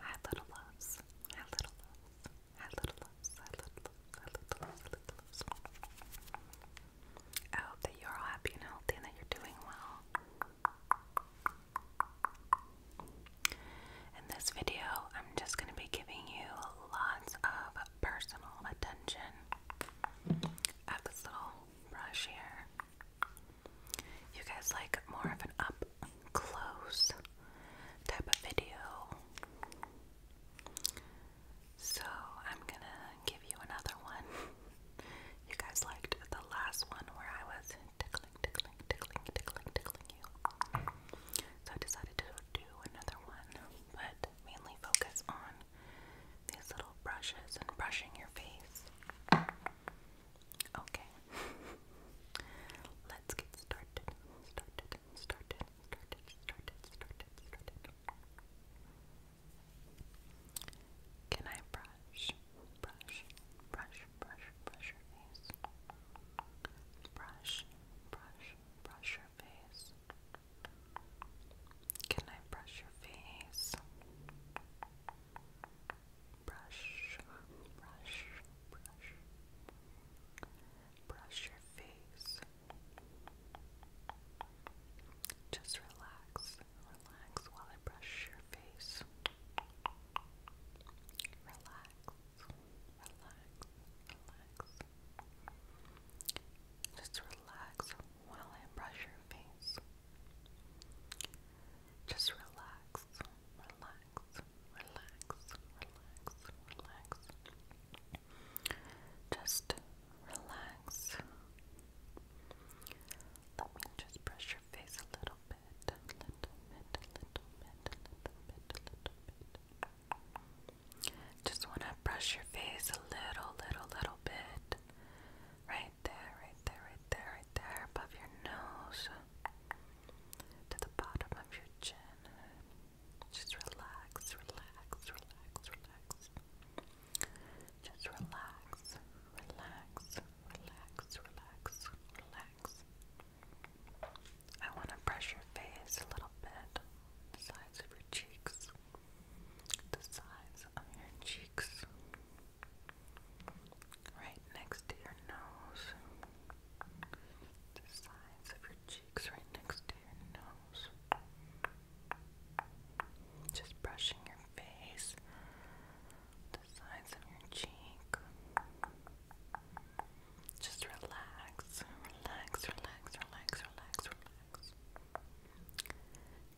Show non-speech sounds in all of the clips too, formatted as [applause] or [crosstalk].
Hi little loves. Hi little loves. Hi little loves. Hi little Hi little loves. I hope that you're all happy and and that you're doing well. In this video, I'm just going to be giving you lots of personal attention. have this little brush here. You guys like more of an up and close type of video. So I'm gonna give you another one. you guys liked the last one where I was tickling, tickling, tickling, tickling, tickling you. So I decided to do another one, but mainly focus on these little brushes and brushing your face. Okay. [laughs] Let's get started. Started, started, started, started, started, started. Can I brush, brush, brush, brush, brush your face? Brush, brush, brush your face. Can I brush your face? brush, brush, brush, brush your face. Just relax, relax while I brush your face. Relax, relax, relax. Just relax while I brush your face. Just relax, relax, relax, relax. Just relax. Let me just brush your face a little bit, a little bit, a little bit, a little bit, a little bit. Just want to brush your face a little, little, little bit. Right there, right there, right there, right there, above your nose to the bottom of your chin. Just relax, relax, relax, relax. Just relax, relax, relax, relax, relax. I want to brush your face a little bit, the sides of your cheeks, the sides of your cheeks right next to your nose, the sides of your cheeks, right next to your nose. Just brushing your face, the sides of your cheek. Just relax, relax, relax, relax, relax, relax.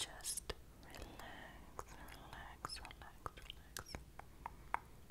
Just relax, relax, relax, relax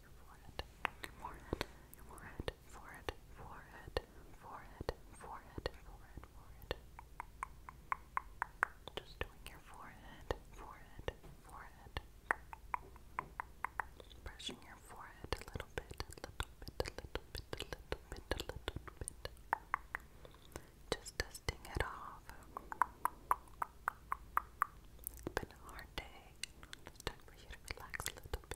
forehead, forehead, forehead, forehead, forehead, forehead, forehead, forehead, Just doing your forehead, forehead, forehead. Brushing your forehead a little bit, a little bit, a little bit, a little bit, a little bit. Just dusting it off. It's been a hard day. time for you to relax a little bit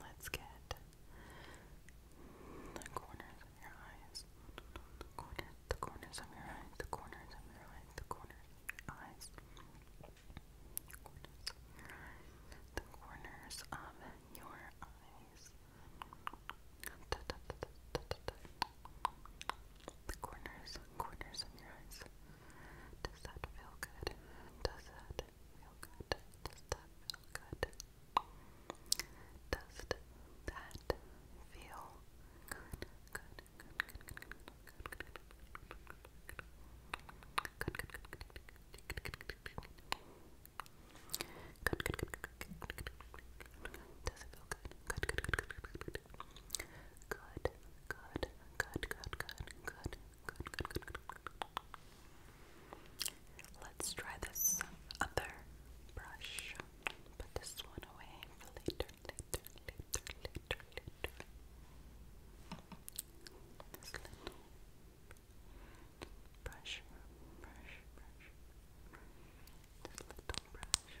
Let's get the corners of your eyes. The corners, the corners of your eyes, the corners of your eyes, the corners eyes. The corners of your eyes. The corners, corners of your eyes. Does that feel good? Does that feel good? Does that feel good? Does that feel good? Good, good, good, good, good, good, good, good, good, does it feel good? Good, good, good, good, good, good, good, good, good, good, good, good, good, good, good, good, good. Let's try this other brush. Put this one away for later, later, later, later, later. This little brush, brush, brush, brush. This little brush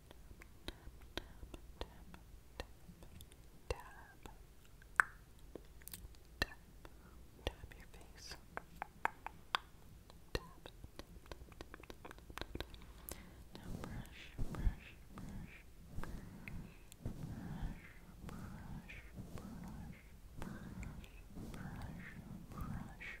tap your face. Tap, now brush, brush, brush, brush, brush, brush, brush, brush, brush,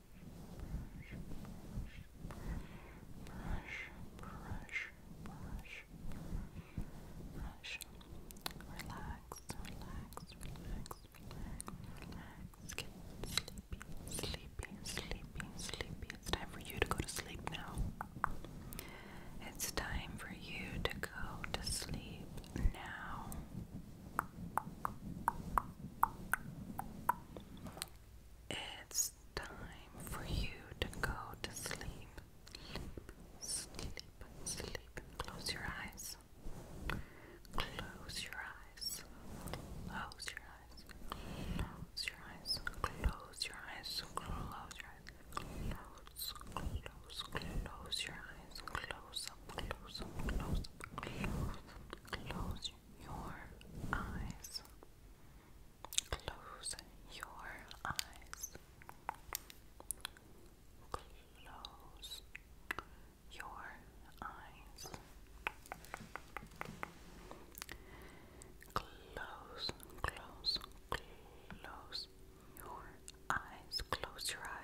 brush, brush, brush. Relax, relax, relax, relax. Get sleepy, sleepy, sleepy, sleepy. It's time for you to go to sleep now. It's time for you to go to sleep now. It's time for you to go to sleep. Sleep, sleep, sleep. Close your eyes. Close your eyes. Close your eyes. Close your eyes. Close your eyes. Close your eyes. Close, close, close your eyes. Close up, close up, close up, close up, Close your eyes. Close your eyes. Close your eyes. Close, close, close your eyes. Close your eyes. Close your eyes.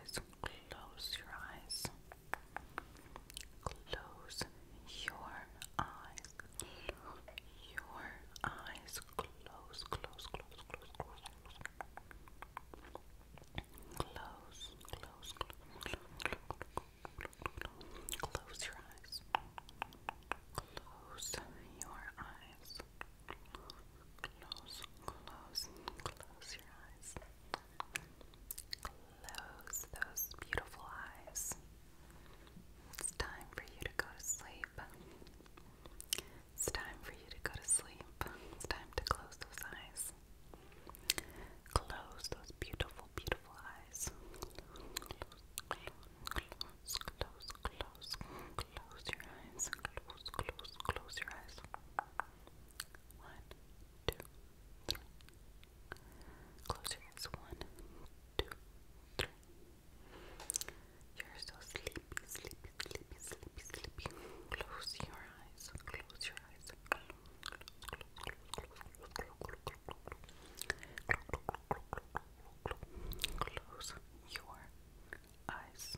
your eyes. Close your eyes. Your eyes. Close, close, close, close, close, close. Close, close, close, close. Close your eyes. Close your eyes. Close, close, close your eyes. Close, those, those beautiful eyes. It's time for you to go to sleep. It's time for you to go to sleep. It's time to close those eyes. Close those beautiful, beautiful eyes. close, close, close your eyes. Close, close, close your eyes. One, two, three. Close your eyes. One, two, three. You're so sleepy, sleepy, sleepy, sleepy, sleepy. Close your eyes. Close your eyes. Close, close, close, close, close, close, close, close. Close Close Close Close Close Close Close Close Close your eyes.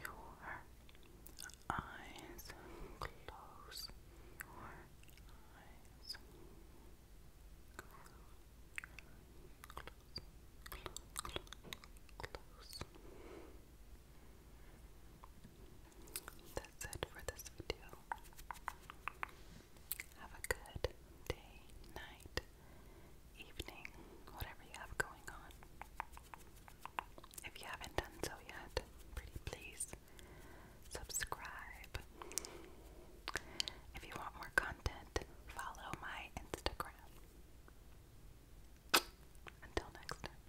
your eyes, close your eyes, close, close, close, close. That's it for this video. Have a good day, night, evening, whatever you have going on. If you haven't done so yet, pretty please subscribe. If you want more content, follow my Instagram. Until next time.